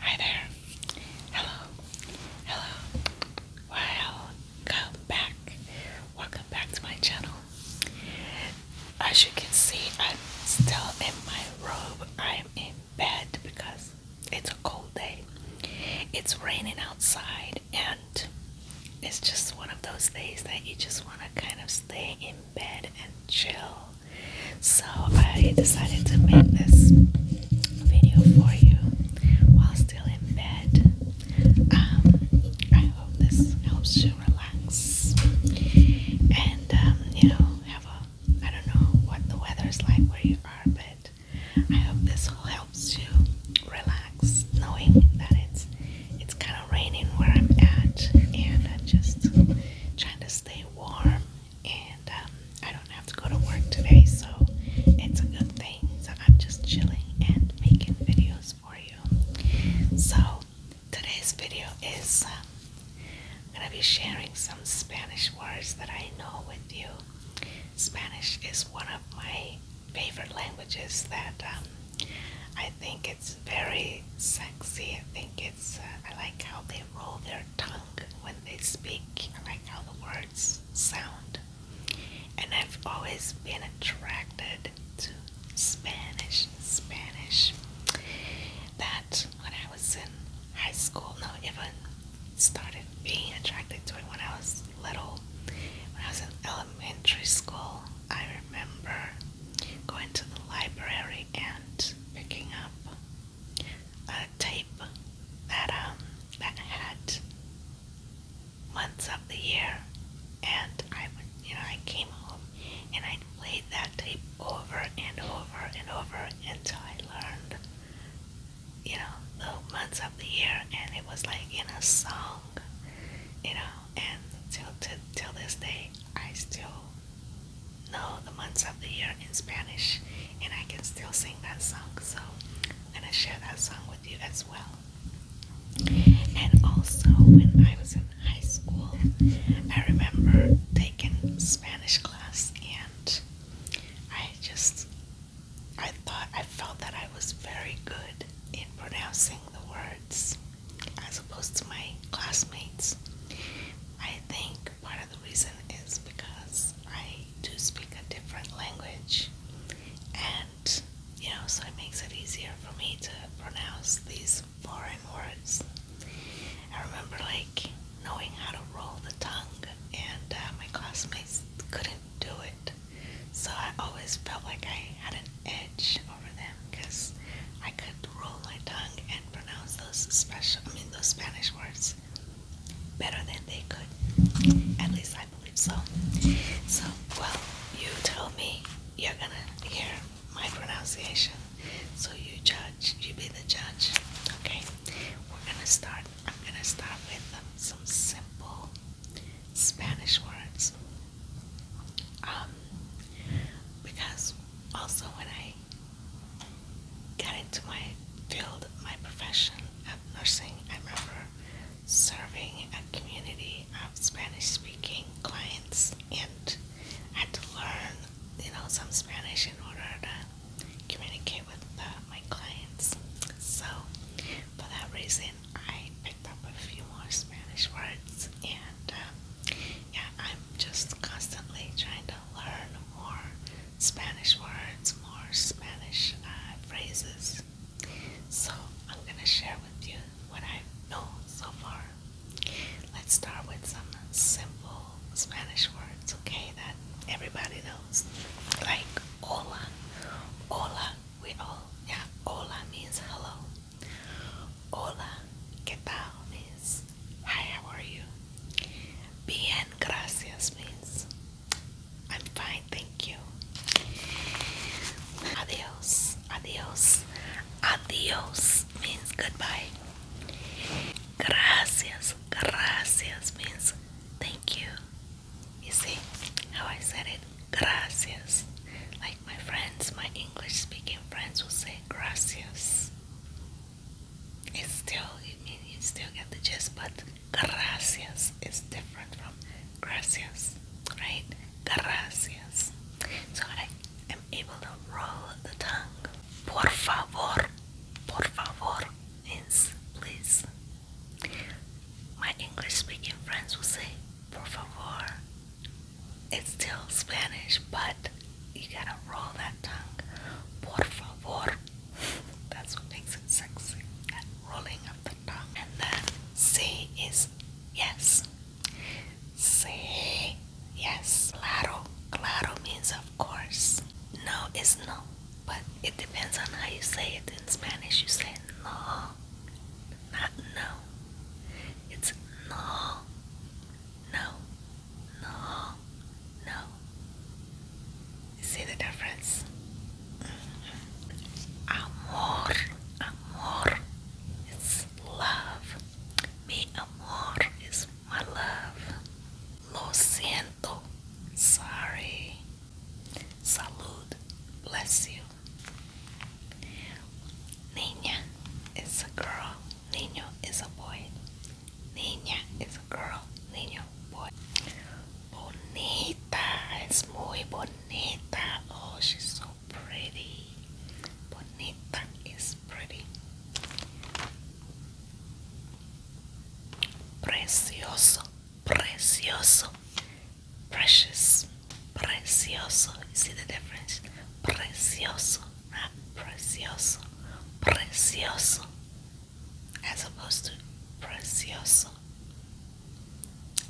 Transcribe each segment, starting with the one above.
Hi there. Hello. Hello. Welcome back. Welcome back to my channel. As you can see, I'm still in my robe. I'm in bed because it's a cold day. It's raining outside and it's just one of those days that you just want to kind of stay in bed and chill so I decided to make this video for you while still in bed. Um, I hope this helps you relax and um, you know have a. I don't know what the weather is like where you are, but I hope this all helps you relax, knowing that it's it's kind of raining where I'm at, and I'm just trying to stay warm and um, I don't have to go to work today, so it's a good thing. So I'm just chilling and making videos for you. So today's video is I'm um, gonna be sharing some Spanish words that I know with you. Spanish is one of my favorite languages that um, I think it's very sexy. I think uh, I like how they roll their tongue when they speak. I like how the words sound. And I've always been attracted to Spanish. Spanish. That when I was in high school, no, even started being attracted to it when I was little. When I was in elementary school, I remember going to the library and and picking up a tape that um that had months of the year, and I would you know I came home and I played that tape over and over and over until I learned you know the months of the year, and it was like in a song, you know, and till till this day I still know the months of the year in Spanish, and I can still sing that song. So I'm gonna share that song with you as well. And also, when I was in high school, I remember taking Spanish class, and I just I thought I felt that I was very good in pronouncing the words as opposed to my classmates. I think part of the reason is because I do speak a different language, and you know, so it makes it easier for me to pronounce these foreign words. I remember like knowing how to roll the tongue, and uh, my classmates couldn't do it, so I always felt like I had an edge over them because I could roll my tongue and pronounce those special, I mean, those Spanish words better than they could. At least I believe so. So, well, you told me you're gonna hear my pronunciation. So you judge, you be the judge. Okay, we're gonna start. I'm gonna start with some simple Spanish words. Um, because also when I got into my field, my profession of nursing, I remember serving a community of Spanish-speaking clients, and I had to learn, you know, some Spanish in order to communicate with uh, my clients. So, for that reason, I picked up a few more Spanish words, and um, yeah, I'm just constantly trying to learn more Spanish words, more Spanish uh, phrases. So I'm gonna share with you what I know so far. Let's start with some simple Spanish words, okay? That everybody knows, like hola, hola we all, yeah, hola means hello. Hola, ¿qué tal? means hi, how are you? Bien, gracias means I'm fine, thank you. Adios, adios, adios means goodbye. Gracias, gracias means thank you. You see how I said it? Gracias. Like my friends, my English speaking friends will say gracias. It's still, I mean, you still get the gist, but gracias is different from gracias, right? Gracias. So I am able to roll the tongue. Por favor, por favor means please. My English speaking friends will say, por favor. It's still Spanish, but you gotta roll that tongue. Por favor. That's what makes it sexy. That rolling of the tongue. And then say is yes. Say yes. Claro. Claro means of course. No is no but it depends on how you say it. In Spanish, you say no, not no. It's no, no, no, no. You see the difference? Mm -hmm. Amor, amor, it's love. Mi amor is my love. Lo siento, sorry. Salud bless you. Niña is a girl, niño is a boy. Niña is a girl, niño, boy. Bonita is muy bonita. Oh, she's so pretty. Bonita is pretty. Precioso precioso, precious, precioso. You see the difference? Precioso, not precioso, precioso, as opposed to precioso.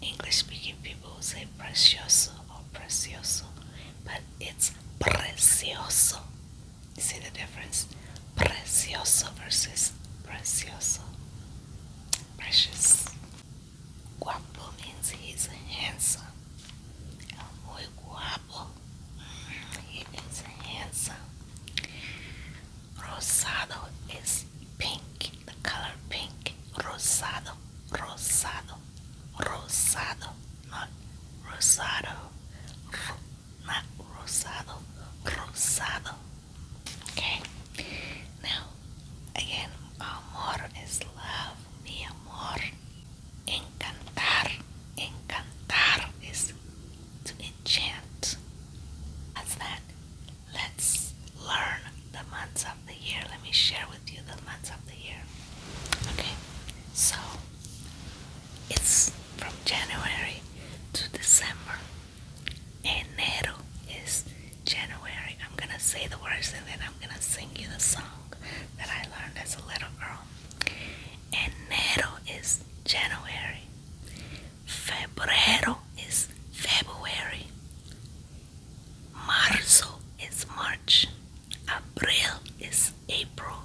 English speaking people will say precioso or precioso, but it's precioso. See the difference? Precioso versus precioso. Precious. Guapo means he's handsome. Muy guapo. He is handsome. Rosado is pink, the color pink. Rosado, rosado, rosado, not rosado not rosado, Okay, now again, amor is love, mi amor. Encantar, encantar is to enchant. That's that. Let's learn the months of the year. Let me share with you the months of the year. Okay, so it's from January to December. Enero is January. I'm gonna say the words and then I'm gonna sing you the song that I learned as a little girl. Enero is January. Febrero is February. Marzo is March. Abril is April.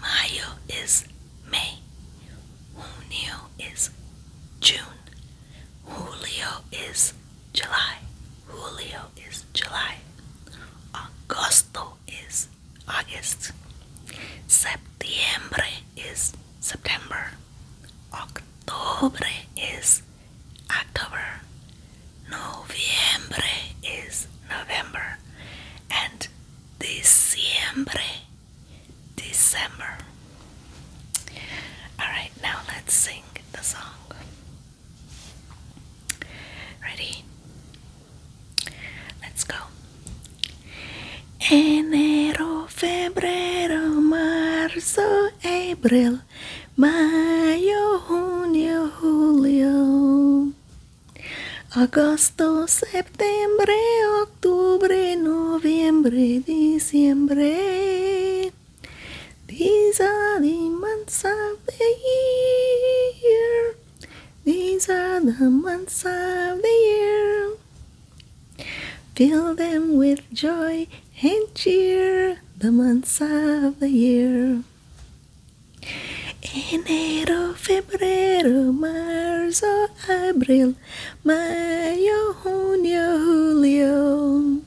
Mayo is May. Junio is June. Julio is July. Julio is July. Agosto is August. Septiembre is September. octubre is October. Noviembre is November. And Diciembre, December. All right, now let's sing the song. Ready? Let's go. Enero, febrero, marzo, abril, mayo, junio, julio. August, September, October, November, diciembre. These are the months of the year. These are the months of the year. Fill them with joy and cheer, the months of the year. Enero, February, March, April, May, June, July,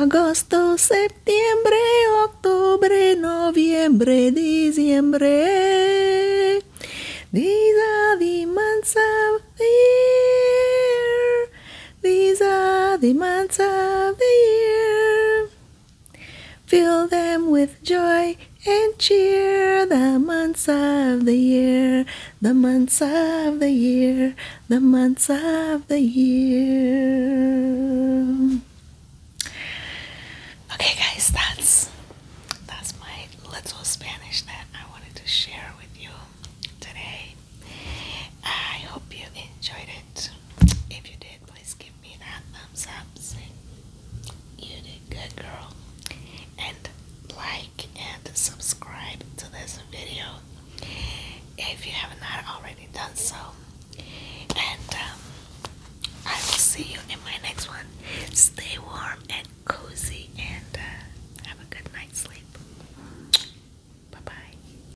August, September, October, November, December. These are the months of the year. These are the months of the year. Fill them with joy and cheer the months of the year, the months of the year, the months of the year. Okay, guys, that's that's my little Spanish that I wanted to share with you today. I hope you enjoyed it. If you did, please give me that thumbs up saying you did good, girl. And like and subscribe to this video if you have not already done so. And um, I will see you in my next one. Stay warm and cozy and uh, have a good night's sleep. Bye bye.